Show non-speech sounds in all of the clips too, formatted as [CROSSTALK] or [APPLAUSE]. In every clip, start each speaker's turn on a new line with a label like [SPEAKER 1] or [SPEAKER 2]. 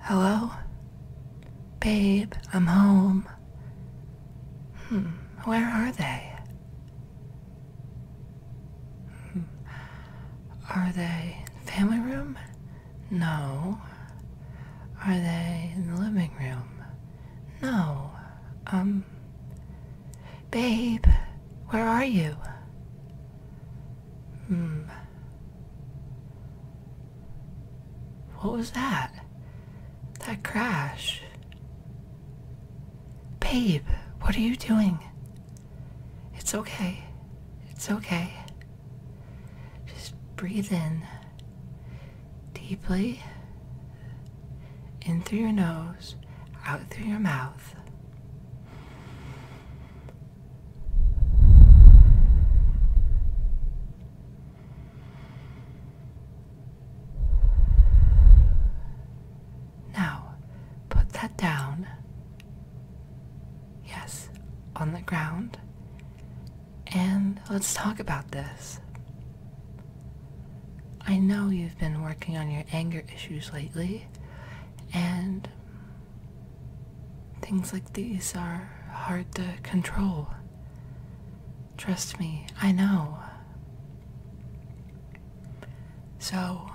[SPEAKER 1] Hello? Babe, I'm home. Hmm, where are they? Hmm, are they in the family room? No. Are they in the living room? No. Um, babe, where are you? Hmm. What was that? That crash. Babe, what are you doing? It's okay. It's okay. Just breathe in deeply in through your nose, out through your mouth. Now, put that down. Yes, on the ground. And let's talk about this. I know you've been working on your anger issues lately, and Things like these are hard to control. Trust me, I know. So,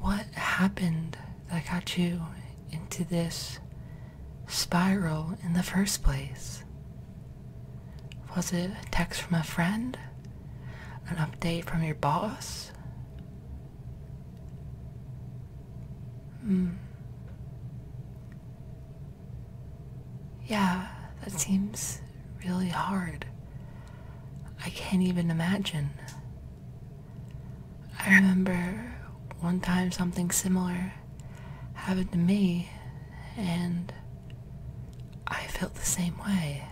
[SPEAKER 1] what happened that got you into this spiral in the first place? Was it a text from a friend? An update from your boss? Hmm. Yeah, that seems really hard. I can't even imagine. I remember one time something similar happened to me, and I felt the same way.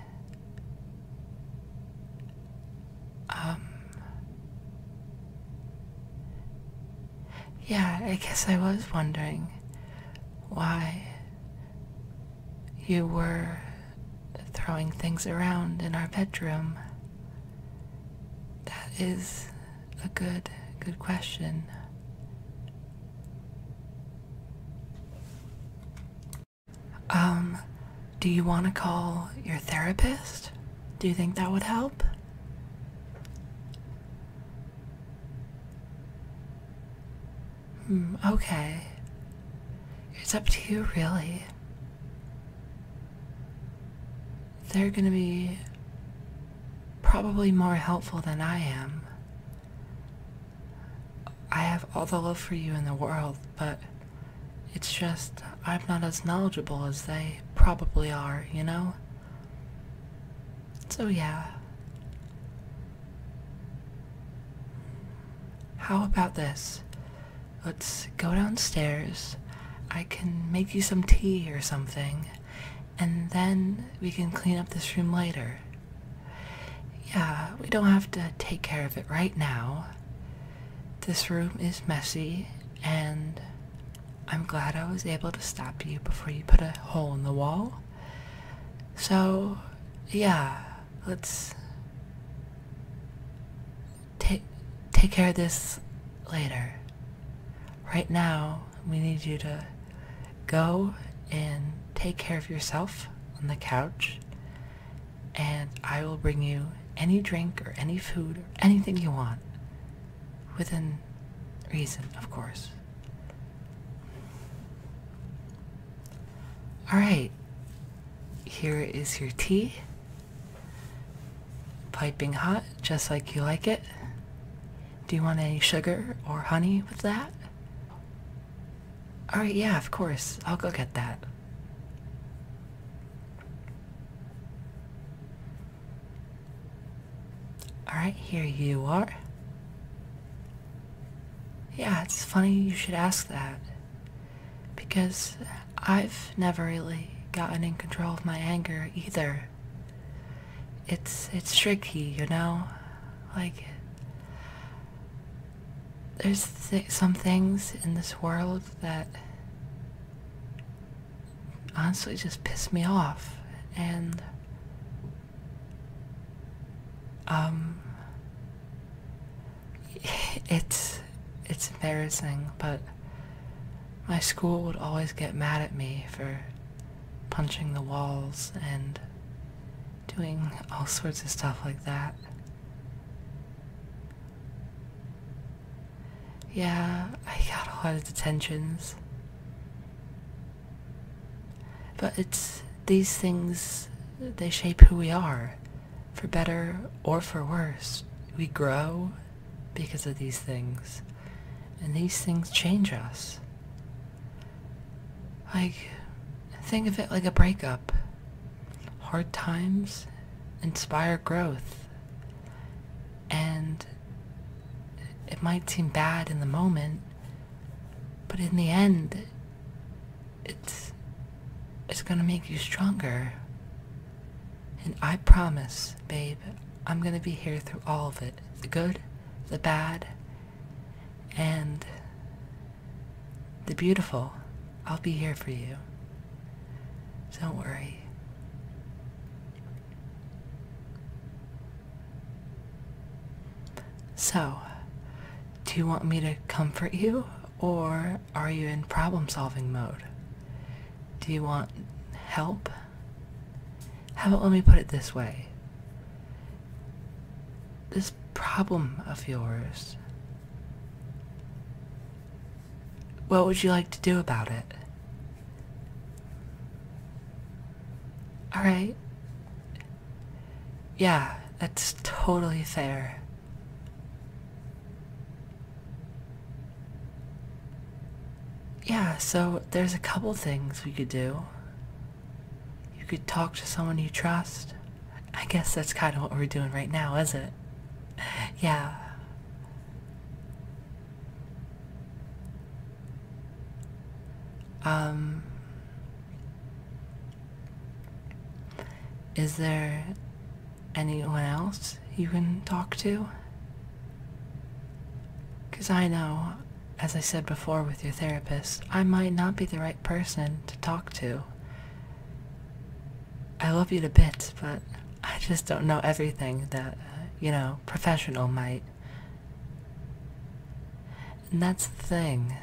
[SPEAKER 1] Um, yeah, I guess I was wondering why you were throwing things around in our bedroom. That is a good, good question. Um, do you want to call your therapist? Do you think that would help? Hmm, okay. It's up to you, really. They're gonna be probably more helpful than I am. I have all the love for you in the world, but it's just I'm not as knowledgeable as they probably are, you know? So, yeah. How about this? Let's go downstairs. I can make you some tea or something, and then we can clean up this room later. Yeah, we don't have to take care of it right now. This room is messy and I'm glad I was able to stop you before you put a hole in the wall. So, yeah, let's take take care of this later. Right now, we need you to go and take care of yourself on the couch, and I will bring you any drink or any food or anything you want. Within reason, of course. Alright, here is your tea. Piping hot, just like you like it. Do you want any sugar or honey with that? Alright, yeah, of course. I'll go get that. Alright, here you are. Yeah, it's funny you should ask that. Because I've never really gotten in control of my anger either. It's it's tricky, you know? Like there's some things in this world that honestly just piss me off and um [LAUGHS] it's it's embarrassing but my school would always get mad at me for punching the walls and doing all sorts of stuff like that yeah, I got a lot of detentions. But it's these things, they shape who we are. For better or for worse, we grow because of these things. And these things change us. Like, think of it like a breakup. Hard times inspire growth. And it might seem bad in the moment, but in the end, it's it's gonna make you stronger. And I promise, babe, I'm gonna be here through all of it. The good, the bad, and the beautiful. I'll be here for you. Don't worry. So, do you want me to comfort you, or are you in problem solving mode? Do you want help? How about let me put it this way? This problem of yours, what would you like to do about it? All right. Yeah, that's totally fair. Yeah, so there's a couple things we could do. You could talk to someone you trust. I guess that's kind of what we're doing right now, isn't it? [LAUGHS] Yeah. Um, is there anyone else you can talk to? Because I know, as I said before with your therapist, I might not be the right person to talk to. I love you to bits, but I just don't know everything that, you know, professional might. And that's the thing.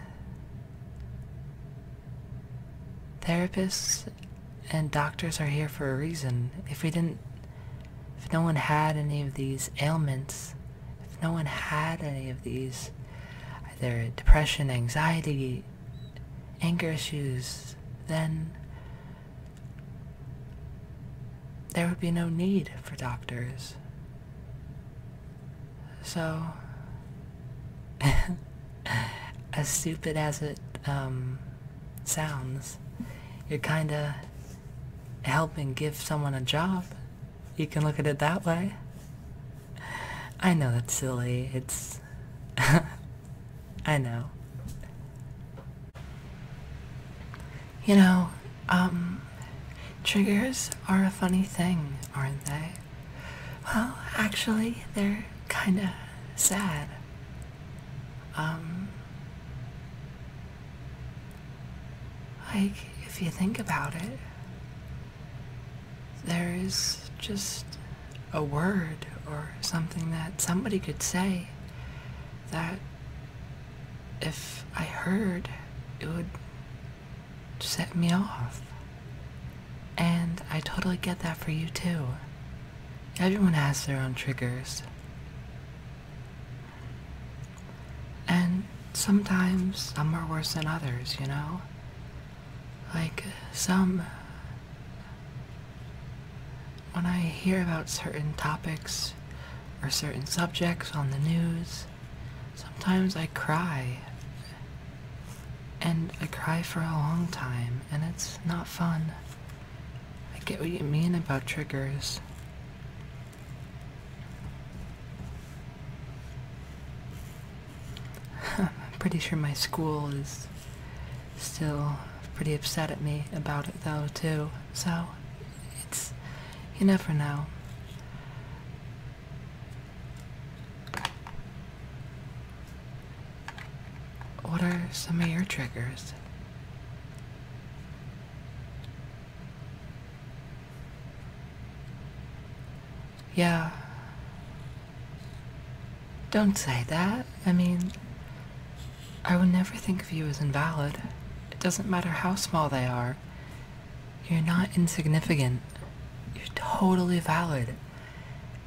[SPEAKER 1] Therapists and doctors are here for a reason. If we didn't, if no one had any of these ailments, if no one had any of these, either depression, anxiety, anger issues, then there would be no need for doctors. So, [LAUGHS] as stupid as it um, sounds, it kind of helps and gives someone a job. You can look at it that way. I know that's silly. It's. [LAUGHS] I know. You know, um, triggers are a funny thing, aren't they? Oh, actually, they're kinda sad. Um, like, if you think about it, there is just a word or something that somebody could say that if I heard, it would set me off. And I totally get that for you too. Everyone has their own triggers. And sometimes some are worse than others, you know? Like, some when I hear about certain topics or certain subjects on the news, sometimes I cry. And I cry for a long time, and it's not fun. I get what you mean about triggers. I'm [LAUGHS] pretty sure my school is still pretty upset at me about it though too, so it's you never know. What are some of your triggers? Yeah. Don't say that. I mean, I will never think of you as invalid. It doesn't matter how small they are. You're not insignificant. You're totally valid.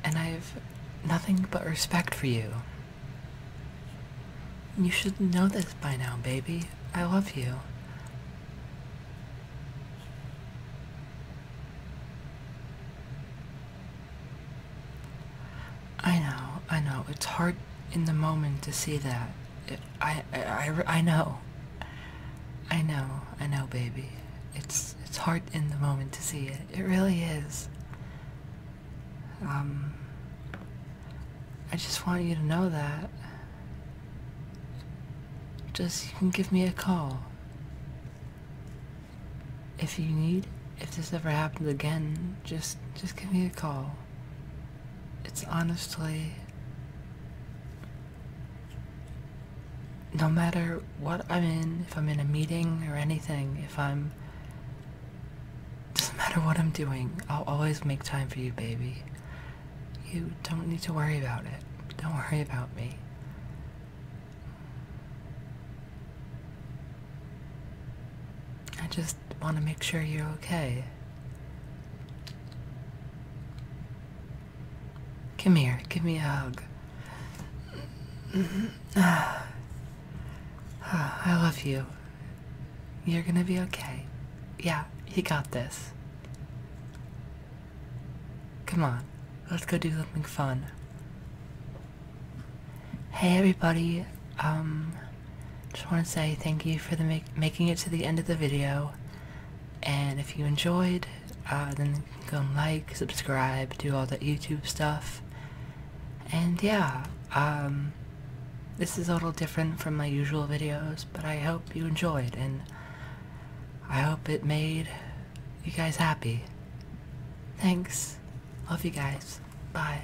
[SPEAKER 1] And I've nothing but respect for you. You should know this by now, baby. I love you. I know, I know. It's hard in the moment to see that. I, I, I, I know. I know, I know, baby. It's it's hard in the moment to see it. It really is. Um, I just want you to know that. Just you can give me a call. If you need, if this ever happens again, just just give me a call it's honestly no matter what I'm in, if I'm in a meeting or anything, if I'm doesn't matter what I'm doing, I'll always make time for you, baby. You don't need to worry about it. Don't worry about me. I just just want to make sure you're okay. Come here, give me a hug. [SIGHS] I love you. You're gonna be okay. Yeah, he got this. Come on, let's go do something fun. Hey everybody, um, just want to say thank you for the making it to the end of the video. And if you enjoyed, uh, then go and like, subscribe, do all that YouTube stuff. And yeah, um, this is a little different from my usual videos, but I hope you enjoyed, and I hope it made you guys happy. Thanks. Love you guys. Bye.